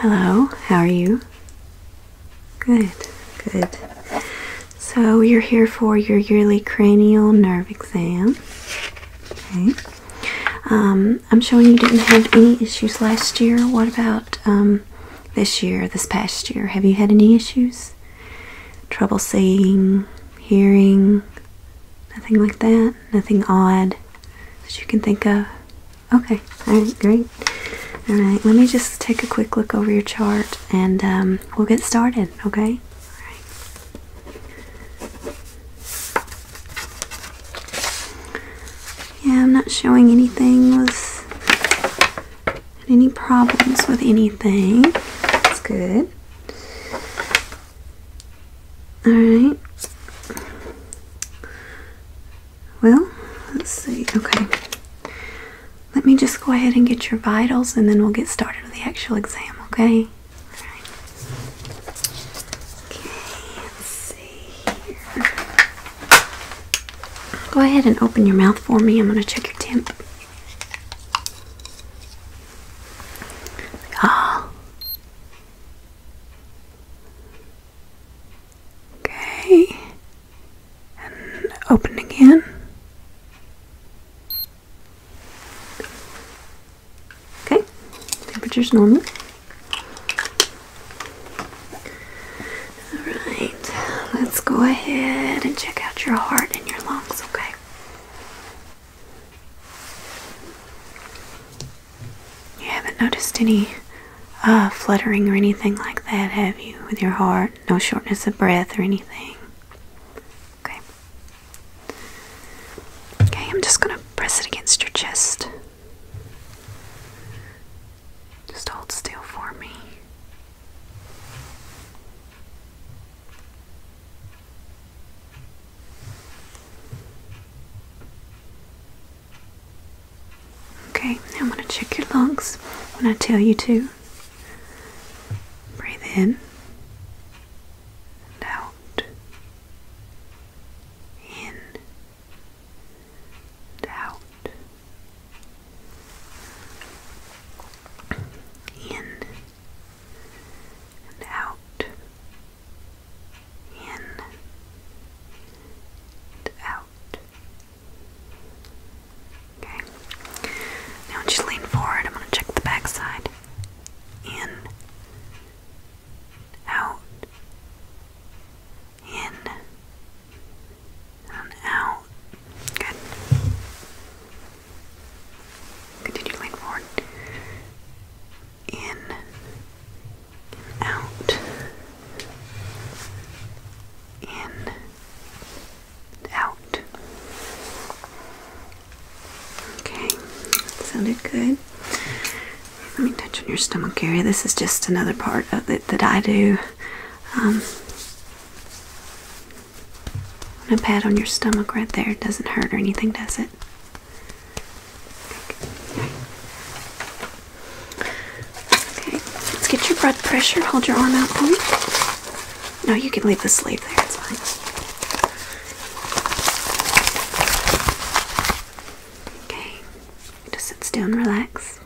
Hello, how are you? Good, good. So, you're here for your yearly cranial nerve exam. Okay. Um, I'm showing you didn't have any issues last year. What about um, this year, this past year? Have you had any issues? Trouble seeing, hearing, nothing like that? Nothing odd that you can think of? Okay, alright, great. Alright, let me just take a quick look over your chart and um, we'll get started, okay? Yeah, I'm not showing anything was any problems with anything. That's good. Alright. Well, let's see. Okay. Let me just go ahead and get your vitals and then we'll get started with the actual exam, okay? Okay, let's see here. Go ahead and open your mouth for me. I'm going to check your temp. Ah. Okay. And open again. Okay. Temperature's normal. Alright, let's go ahead and check out your heart and your lungs, okay? You haven't noticed any uh, fluttering or anything like that, have you, with your heart? No shortness of breath or anything? Okay. Okay, I'm just going to press it against your chest. Just hold still for me. Okay, I'm going to check your lungs when I tell you to. Breathe in and out. In and out. In and out. In in out. Okay. Now just lean forward. I'm going to check the back side. In, out, in, out. Good. Continue lean forward in out, in out. Okay, that sounded good. Let me touch on your stomach area. This is just another part of it that I do. Um, a pat on your stomach right there. doesn't hurt or anything, does it? Okay, let's get your blood pressure. Hold your arm out for me. No, you can leave the sleeve there, it's fine. Okay, just sit still relax.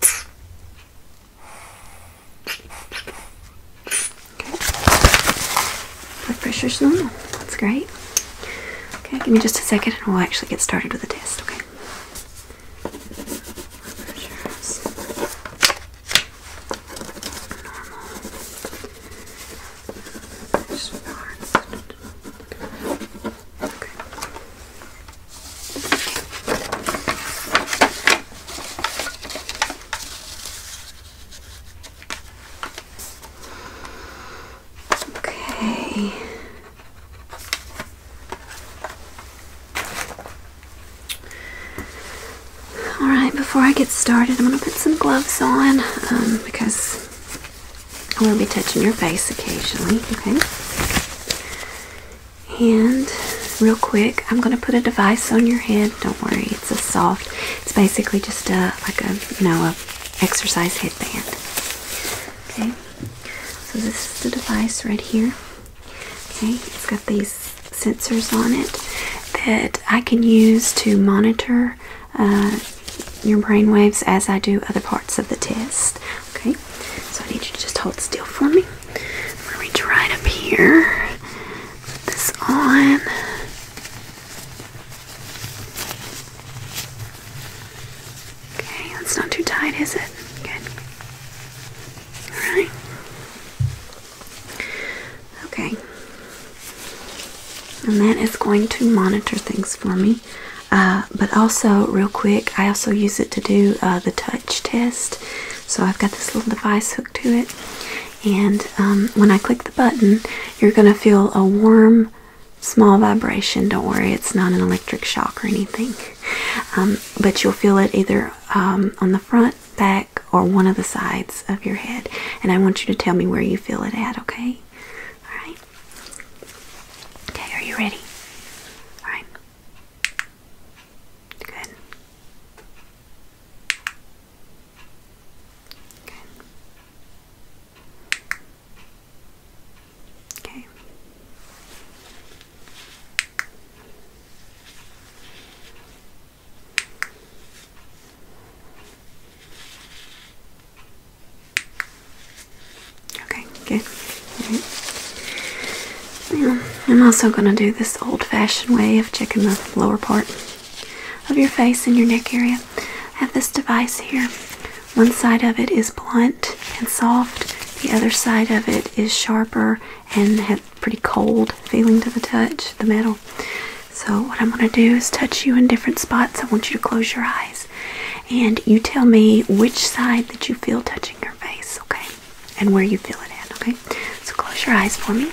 Blood pressure is normal. That's great. Okay, give me just a second and we'll actually get started with the test, okay? Okay. All right, before I get started, I'm going to put some gloves on um, because I am gonna be touching your face occasionally, okay? And real quick, I'm gonna put a device on your head. Don't worry, it's a soft. It's basically just a like a you know a exercise headband. Okay, so this is the device right here. Okay, it's got these sensors on it that I can use to monitor uh, your brain waves as I do other parts of the test. Okay, so I need you to just hold still for me. I'm gonna reach right up here. Put this on. Okay, that's not too tight, is it? Good. Alright. Okay. And that is going to monitor things for me uh, but also, real quick, I also use it to do uh, the touch test. So I've got this little device hooked to it, and um, when I click the button, you're going to feel a warm, small vibration. Don't worry, it's not an electric shock or anything. Um, but you'll feel it either um, on the front, back, or one of the sides of your head. And I want you to tell me where you feel it at, okay? Alright? Okay, are you ready? Alright. Good. Good. Okay. Okay, good. I'm also going to do this old fashioned way of checking the lower part of your face and your neck area. I have this device here. One side of it is blunt and soft, the other side of it is sharper and has pretty cold feeling to the touch, the metal. So, what I'm going to do is touch you in different spots. I want you to close your eyes and you tell me which side that you feel touching your face, okay? And where you feel it at, okay? So close your eyes for me.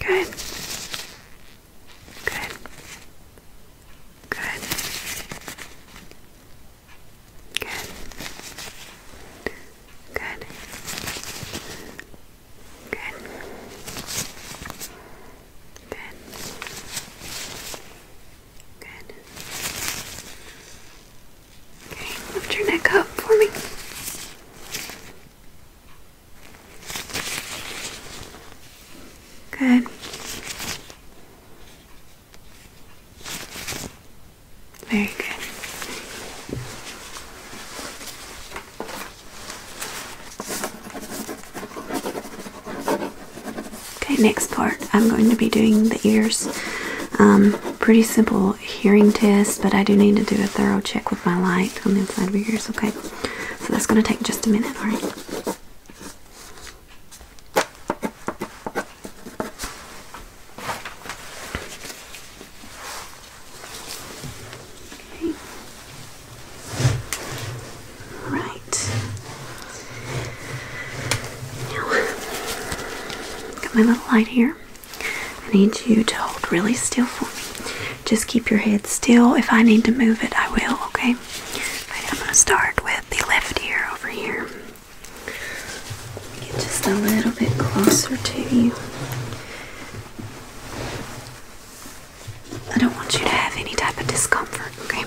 Good. Good. Good. Good. Good. Good. Good. Okay, lift your neck up for me. Good. Very good. Okay, next part I'm going to be doing the ears. Um, pretty simple hearing test, but I do need to do a thorough check with my light on the inside of your ears, okay? So that's going to take just a minute, alright? Right. Now, got my little light here. I need you to hold really still for me. Just keep your head still. If I need to move it, I will, okay? okay I'm going to start with the left ear over here. Get just a little bit closer to you. I don't want you to have any type of discomfort, okay?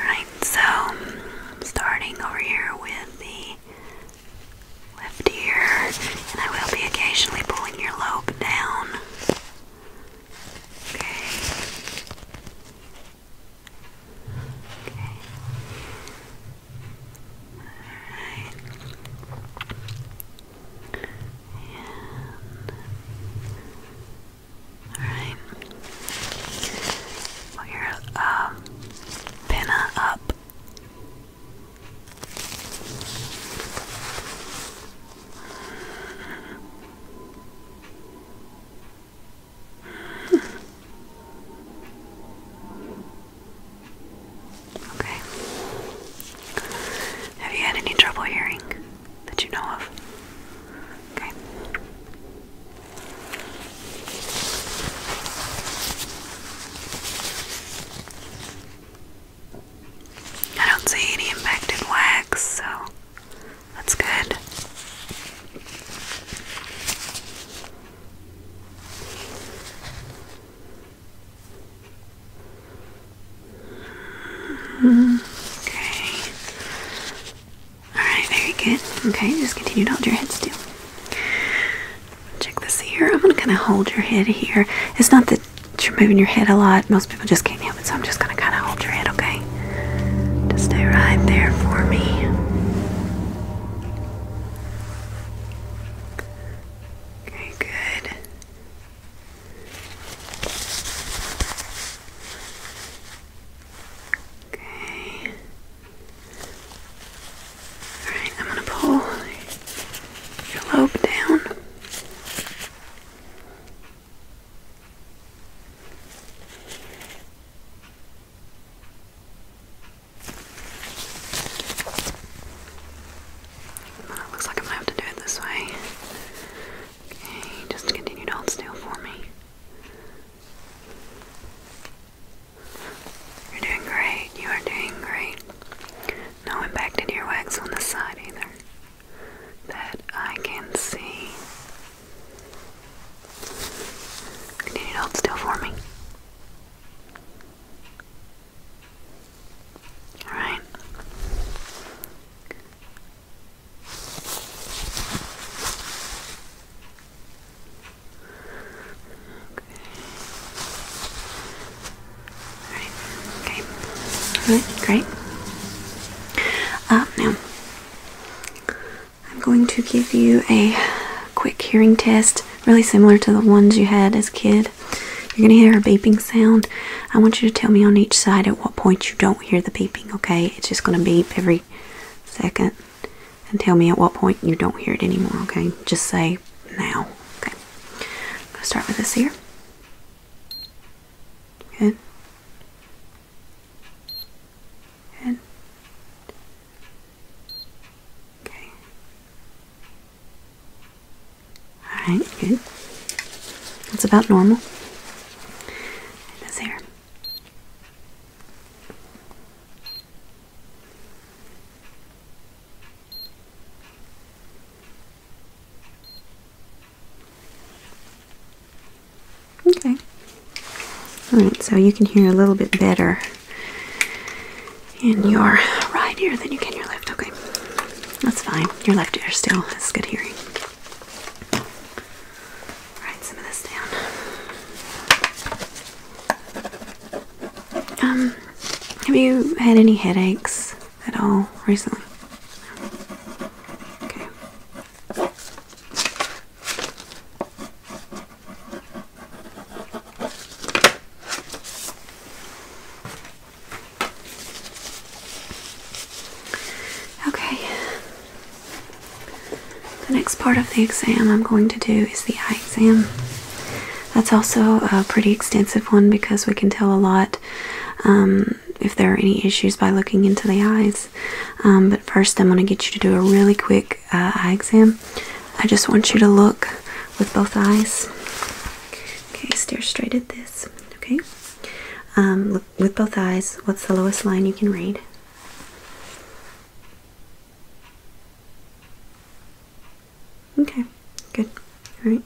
Alright, so I'm starting over here with the left ear, and I will be occasionally pulling your lobe down. Okay. Okay. Alright. And Alright. Put your um, pinna up. Okay. Have you had any trouble hearing that you know of? I don't see any impacted wax, so that's good. Okay. Alright, very good. Okay, just continue to hold your head still. Check this here. I'm going to kind of hold your head here. It's not that you're moving your head a lot. Most people just can't help it, so I'm just going to kind of hold your head, okay? Just stay right there for me. Okay, good. Okay. Alright, I'm gonna pull your lobe down. looks like I'm gonna have to do it this way. Okay, just continue to hold still for me. You're doing great. You are doing great. No impact in your wax on the side either. That I can see. Continue to hold still for me. Alright. Okay. Right. Great. Uh, now, I'm going to give you a quick hearing test, really similar to the ones you had as a kid. You're going to hear a beeping sound. I want you to tell me on each side at what point you don't hear the beeping, okay? It's just going to beep every second. And tell me at what point you don't hear it anymore, okay? Just say now, okay? I'm start with this here. Good. Good. Okay. Alright, good. That's about normal. this here. Okay. Alright, so you can hear a little bit better in your right ear than you can your left. Okay. That's fine. Your left ear still has good hearing. Write some of this down. Um, have you had any headaches at all recently? Okay. Okay. The next part of the exam I'm going to do is the eye exam. That's also a pretty extensive one because we can tell a lot um, if there are any issues by looking into the eyes. Um, but first, I'm going to get you to do a really quick uh, eye exam. I just want you to look with both eyes. Okay, stare straight at this. Okay, um, with both eyes. What's the lowest line you can read? Okay, good. All right.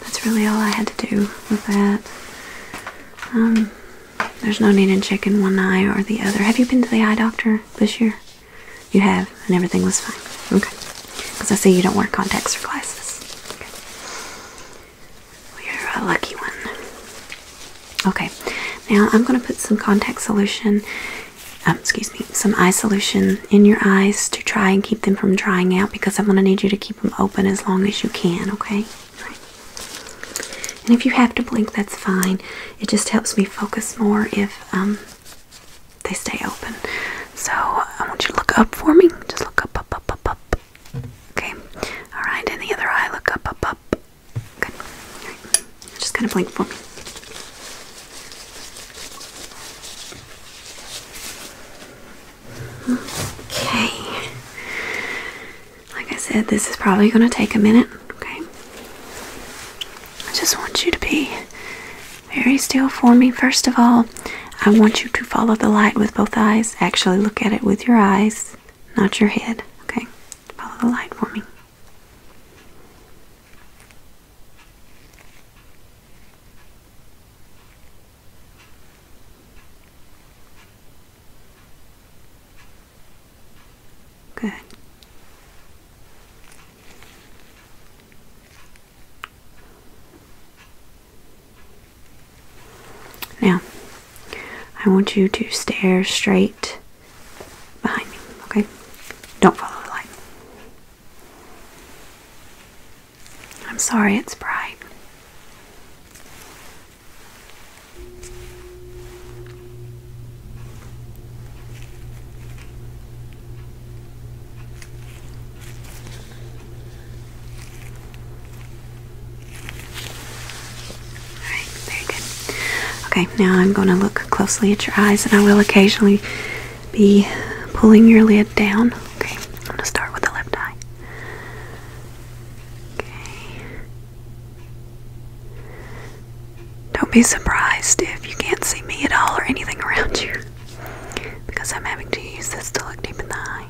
That's really all I had to do with that. Um, there's no need in checking one eye or the other. Have you been to the eye doctor this year? You have, and everything was fine. Okay. Because I see you don't wear contacts or glasses. We're a lucky one. Okay, now I'm going to put some contact solution, um, excuse me, some eye solution in your eyes to try and keep them from drying out because I'm going to need you to keep them open as long as you can, okay? Right. And if you have to blink, that's fine. It just helps me focus more if um, they stay open. So I want you to look up for me. Just look up, up, up, up, up. Okay. All right. And the other eye, look up, up, up. Good. Just kind of blink for me. Okay. Like I said, this is probably going to take a minute. Okay. I just want you to be very still for me. First of all, I want you to follow the light with both eyes. Actually, look at it with your eyes not your head. Okay, follow the light for me. Good. Now, I want you to stare straight behind me, okay? Don't follow the light. I'm sorry it's bright. Alright, very good. Okay, now I'm going to look closely at your eyes and I will occasionally be pulling your lid down. Okay, I'm going to start with the left eye. Okay. Don't be surprised if you can't see me at all or anything around you because I'm having to use this to look deep in the eye.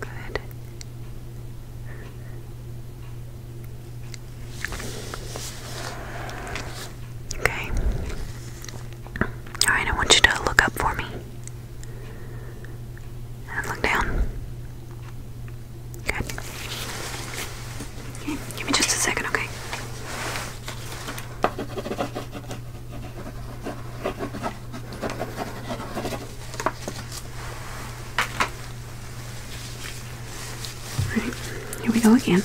Good. Okay. Alright, I want you to look up for me. And look down. Good. Give me just a second, okay? Alright, here we go again.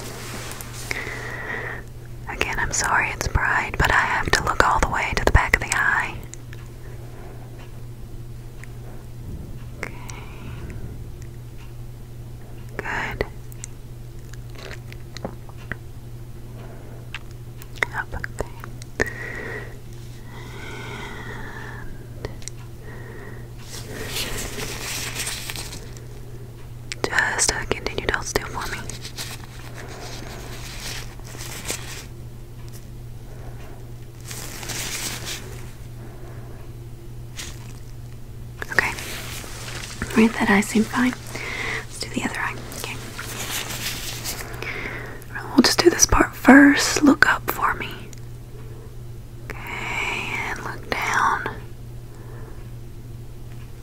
Again, I'm sorry it's bright, but I have to look all the way to the back of the eye. Okay. Good. Up, okay. just uh, continue to hold still for me. Okay. Right, that eye seems fine. Let's do the other eye. Okay. We'll just do this part first. Look up for me. Okay, look down.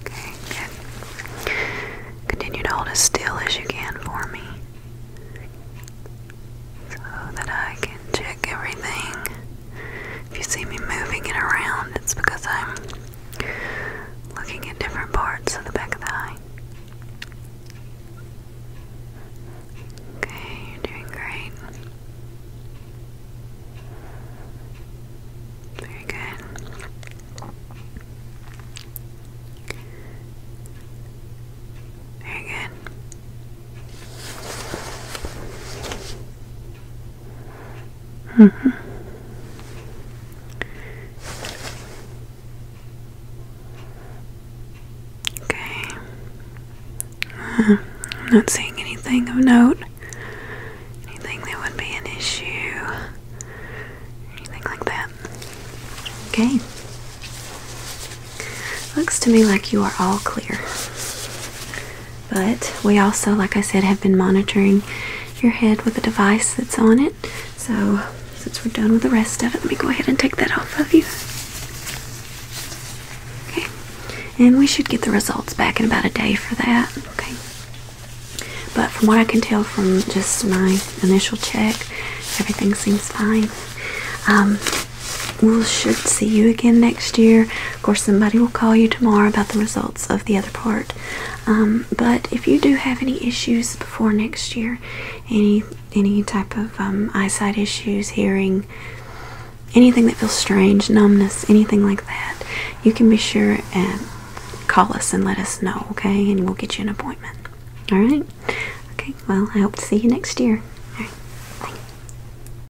Okay, good. Continue to hold as still as you can for me. So that I can check everything. If you see me moving it around, it's because I'm looking at different parts of the back of the eye. Okay, you're doing great. Very good. Very good. Mm -hmm. Okay. Uh, I'm not seeing anything of note. Anything that would be an issue. Anything like that. Okay. Looks to me like you are all clear. But we also, like I said, have been monitoring your head with a device that's on it. So, since we're done with the rest of it, let me go ahead and take that off of you. Okay. And we should get the results back in about a day for that. Okay. But from what I can tell from just my initial check, everything seems fine. Um, we should see you again next year. Of course, somebody will call you tomorrow about the results of the other part. Um, but if you do have any issues before next year, any any type of um, eyesight issues, hearing, anything that feels strange, numbness, anything like that, you can be sure and call us and let us know, okay? And we'll get you an appointment. All right? Okay, well, I hope to see you next year. bye.